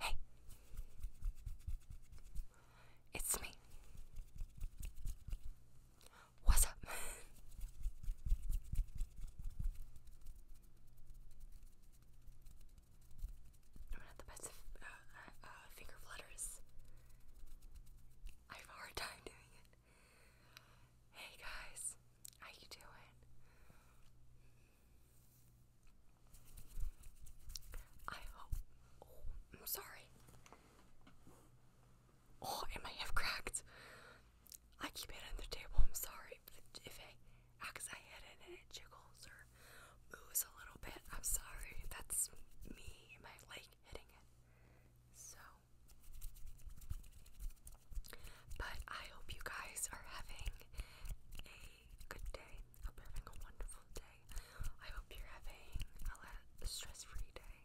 Hey, it's me. What's up? I'm not the best of uh, uh, uh, finger flutters. I have a hard time doing it. Hey guys, how you doing? I am oh, sorry. Oh, it might have cracked. I keep it on the table. I'm sorry if I hit it and it jiggles or moves a little bit. I'm sorry. That's me. My leg hitting it. So but I hope you guys are having a good day. I hope you're having a wonderful day. I hope you're having a stress-free day.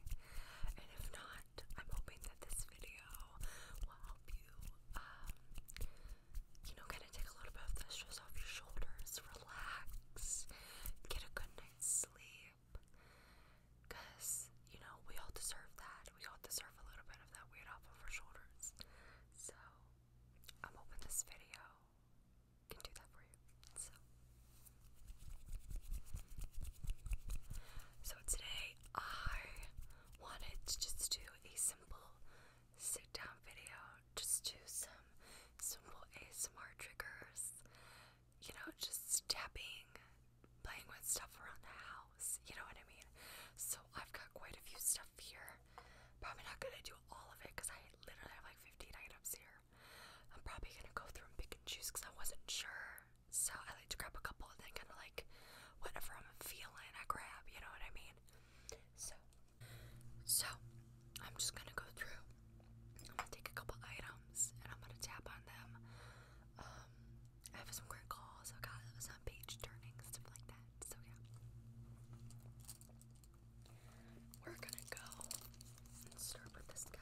And if not, I'm hoping that this video will help you, um, you know, kind of take a little bit of the stress off your shoulders, relax, get a good night's sleep. Because, you know, we all deserve that. We all deserve a little bit of that weight off of our shoulders. So, I'm hoping this video can do that for you. so today I wanted to just do a simple sit down video, just do some simple ASMR triggers you know, just tapping, playing with stuff around the house. You know what I mean? So I've got quite a few stuff here. Probably not gonna do all of it because I literally have like 15 items here. I'm probably gonna go through and pick and choose because I wasn't sure. So I like to grab a couple and then kind of like whatever I'm feeling, I grab. You know what I mean? So, so I'm just gonna go through I'm gonna take a couple items and I'm gonna tap on them. Um, I have some quick calls. I've got some page turning stuff like that. So yeah, we're gonna go start with this guy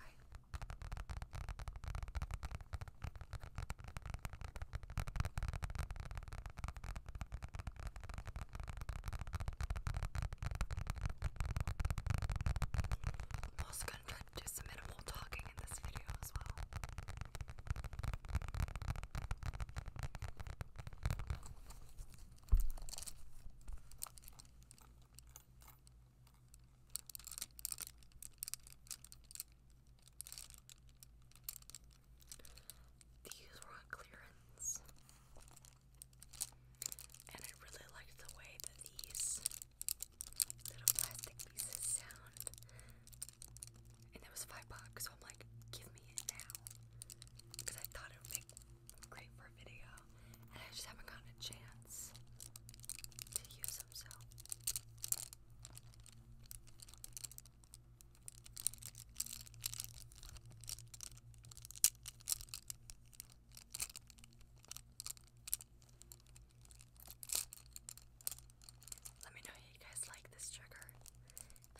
going to try to do some minimal talking in this video as well. These were on clearance, and I really liked the way that these little plastic pieces sound. And that was five bucks, so I'm like, give me it now. Because I thought it would make great for a video. And I just haven't gotten a chance to use them so. Let me know if you guys like this trigger,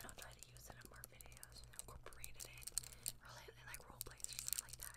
and I'll try to use it in more videos incorporate it in, really, like role plays or stuff like that.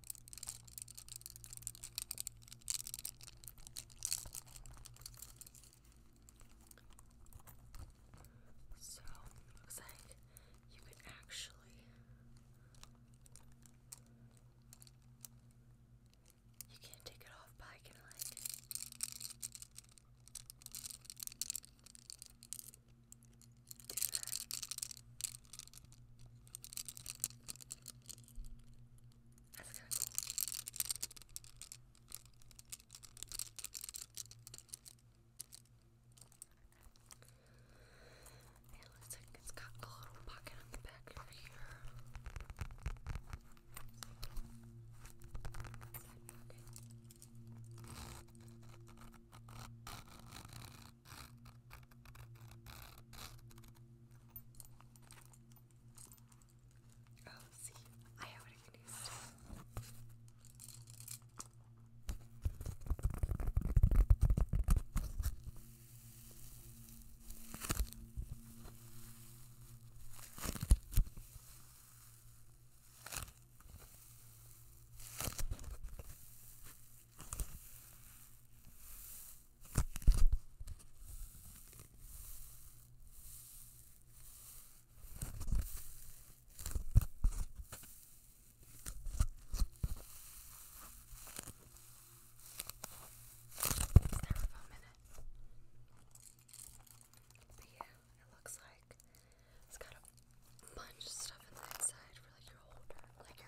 So, looks like you can actually you can take it off, but like that's kind It looks like it's got a little pocket on the back here. Oh, see, I have what I can use. But yeah, it looks like it's got a bunch of stuff on the inside for like your holder, like your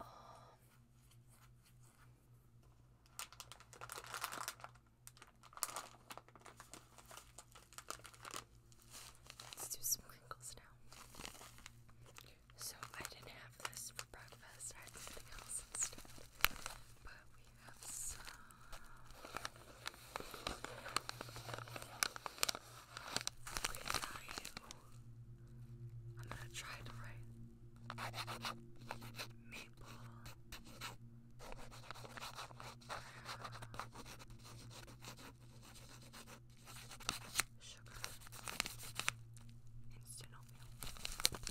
Um, let's do some wrinkles now. So I didn't have this for breakfast. I had something instead. But we have some. Okay, now you. I'm gonna try to write maple. Sugar. Instant oatmeal.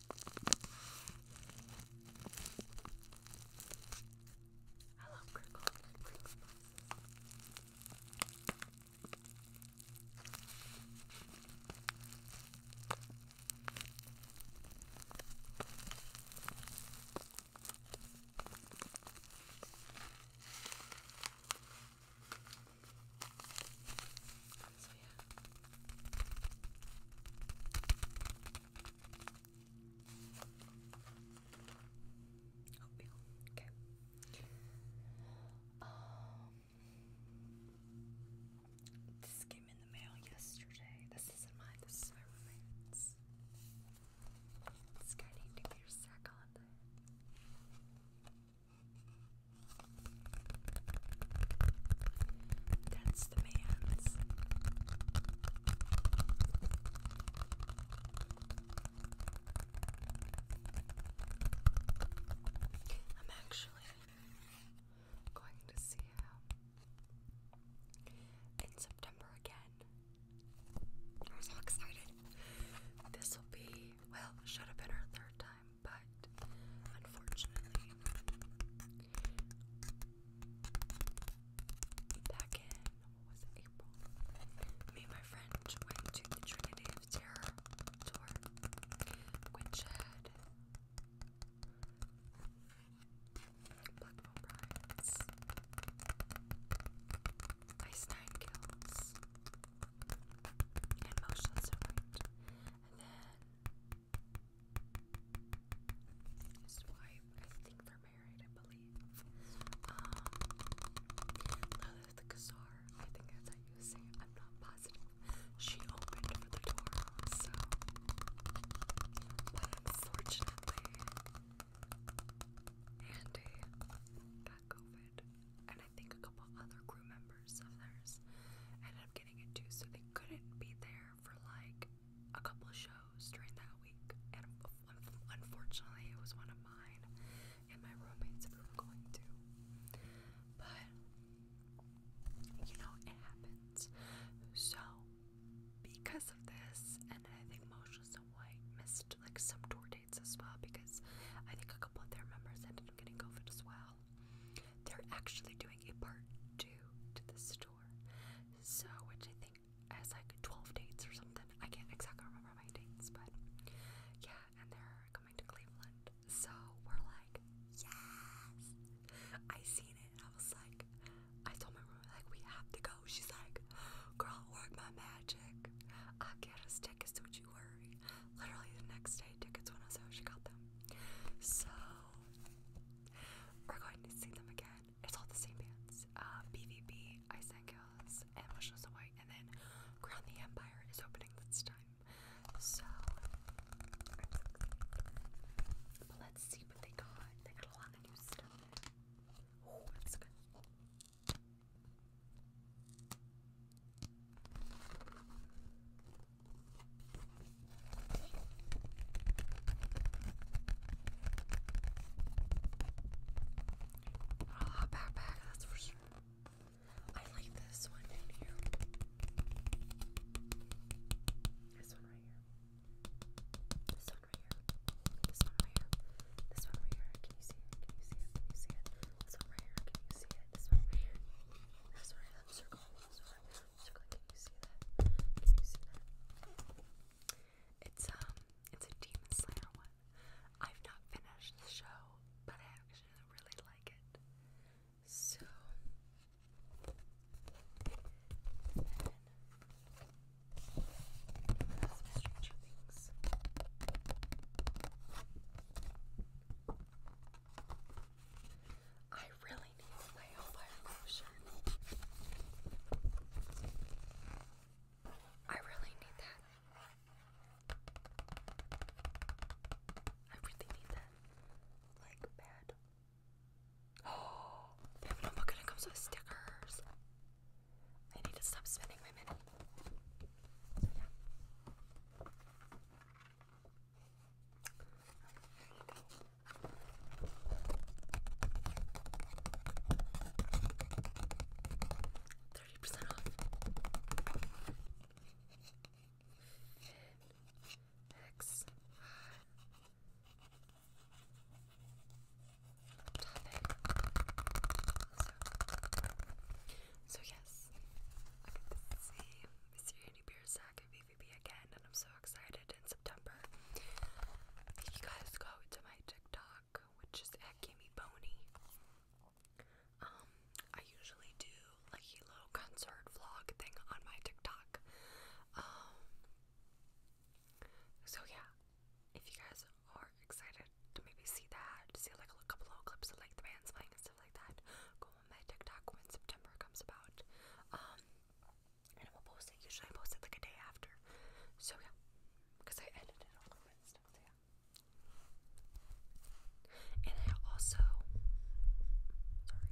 I love crinkles. Crinkle so yeah. Oatmeal. Okay. Um, this came in the mail yesterday. This isn't mine. This is my roommate's. This guy named Peter Sack on it. That's the man. I'm actually going to see him in September again. I'm so excited. This will be, well, should have been our third time, but unfortunately, Back in, what was it, April? Me and my friend went to the Trinity tour, which Black Pearl Ice Nine Kills, and Motionless in White. And then his wife, I think they're married, I believe. Lilith um, Kazar, I think that's how you say it. I'm not positive. She opened for the door, so. unfortunately, Andy got COVID, and I think a couple other crew members of theirs ended up getting it too, so they couldn't be there for like a couple of shows during that week, and unfortunately, it was one of mine and my roommates we were going to. But you know, it happens. So because of this, and I think Moshe's and White missed like some tour dates as well because I think a couple of their members ended up getting COVID as well. They're actually doing a part two to the store. So, which I think has like 12 dates or something. I can't exactly remember my dates, but yeah, and they're coming to Cleveland. So we're like, yes! I seen it and I was like, I told my roommate, like, we have to go. She's like, girl, work my magic. I'll get us tickets, don't you worry. Literally the next day, tickets went on sale. She got them. So we're going to see them again. It's all the same bands. BVB, uh, Ice and Girls, and Wishes and then Crown the Empire is opening this time. So, let's see what they got. They got a lot of new stuff. Oh, that's good. I'll ah, that's for sure. I like this one down here. This one right here. This one right here. This one right here. This one right here. Can you see it? Can you see it? Can you see it? This one right here. Can you see it? This one right here. This one right here. Circle. It's um, it's a Demon Slayer one. I've not finished the show, but I actually really like it. So I really need nail fire I really need that. I really need that. Like bad. Oh, they have a notebook and comes with stickers. I need to stop spending my money. Thirty percent off. X topic. So, yes, Syriani Beer Sack at VVB again, and I'm so excited in September. If you guys go to my TikTok, which is at give um, I usually do like a little concert vlog thing on my TikTok. Um, so yeah, if you guys are excited to maybe see that, see like a couple of clips of like the bands playing stuff like that, go on my TikTok when September comes about. Um, and I will post it. Usually, I post it like a day after. So because I edit all over stuff. And I also, sorry,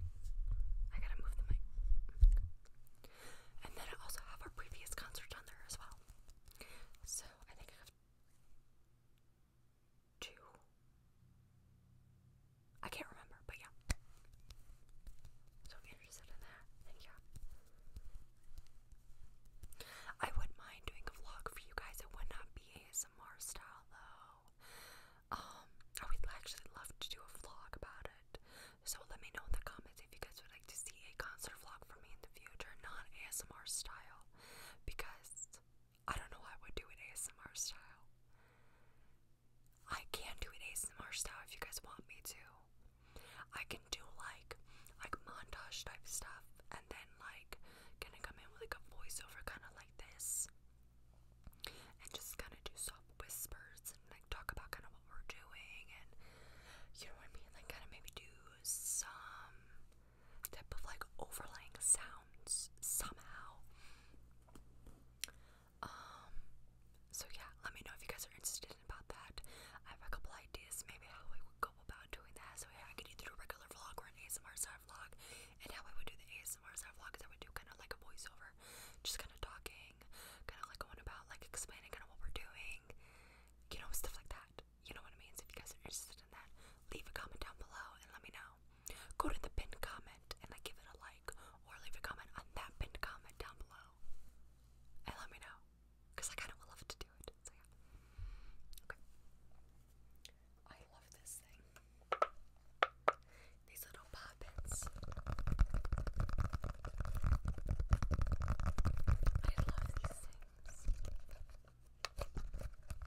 I gotta move the mic. And then I also have our previous concert on there as well. So I think I have two. I can't remember, but yeah. So interested in that, then yeah. I wouldn't mind doing a vlog for you guys. It would not be ASMR style though. Um, I would actually love to do a vlog about it. So let me know in the comments if you guys would like to see a concert vlog for me in the future, not ASMR style, because I don't know how I would do an ASMR style. I can do an ASMR style if you guys want me to. I can do like like montage type stuff and then like gonna come in with like a voiceover kinda like this and just kinda do soft whispers and like talk about kinda what we're doing and you know what I mean? Like kinda maybe do some type of like overlaying sounds somehow. Um, so yeah, let me know if you guys are interested about that. I have a couple ideas, maybe how I would go about doing that. So yeah, I could do a regular vlog or an ASMR style vlog. And how I would do the ASMR style vlog is I would do kind of like a voiceover, just kind of talking, kind of like going about like explaining kind of what we're doing, you know, stuff like that you know what it means. if you guys are interested in that, leave a comment down below and let me know. Go to the pinned comment and like give it a like or leave a comment on that pinned comment down below. And let me know. Because I kinda would love to do it. So yeah. Okay. I love this thing. These little poppets. I love these things.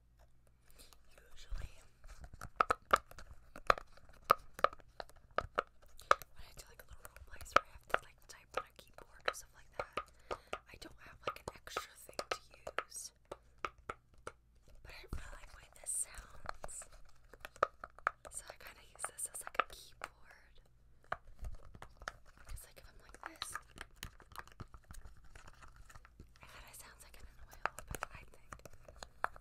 Usually, when I do like little role where I have to like type on a keyboard or stuff like that, I don't have like an extra thing to use. But I really like the this sounds. So I kind of use this as like a keyboard. Because like if I'm like this, I kind sounds like an oil, I think. Um,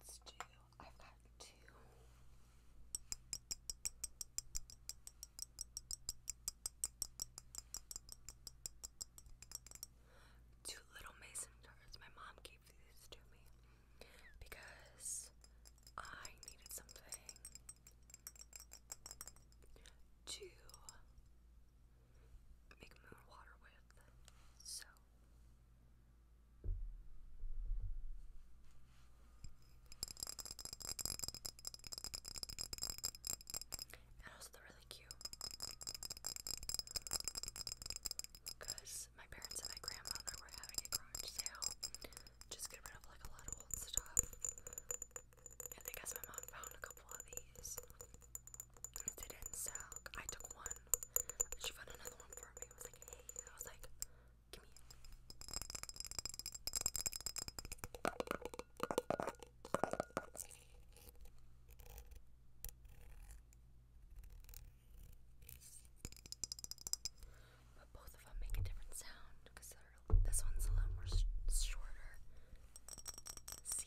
let's do. I've got two Two little mason jars. My mom gave these to me because I needed something to make moon water with. So. And also they're really cute. Because my parents and my grandmother were having a garage sale. Just get rid of like a lot of old stuff. And I guess my mom found a couple of these. they didn't sell. I took one. She found another one for me. I was like, I was like, Give me it. But both of them make a different sound because this one's a little more sh shorter. See.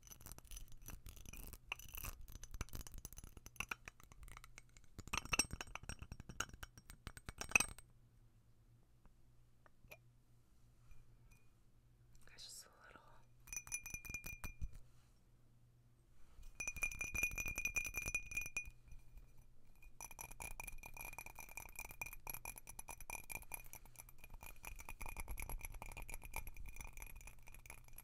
That's just a little.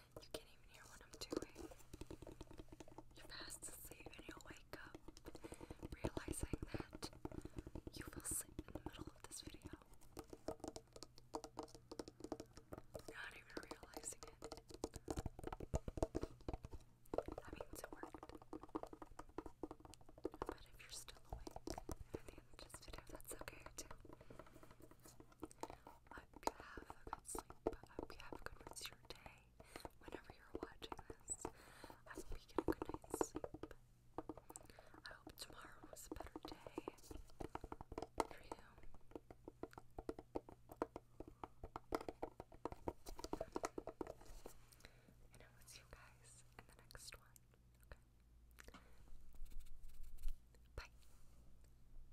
You can't even hear what I'm doing. You're fast asleep and you'll wake up realizing that you fell asleep in the middle of this video. Not even realizing it. That means it worked. But if you're still awake at the end of this video, that's okay too. I hope you have a good sleep. I hope you have a good rest of your day. Whenever you're watching this, I hope you get a good night's sleep. I hope tomorrow was a better day And I will see you guys in the next one. Okay. Bye.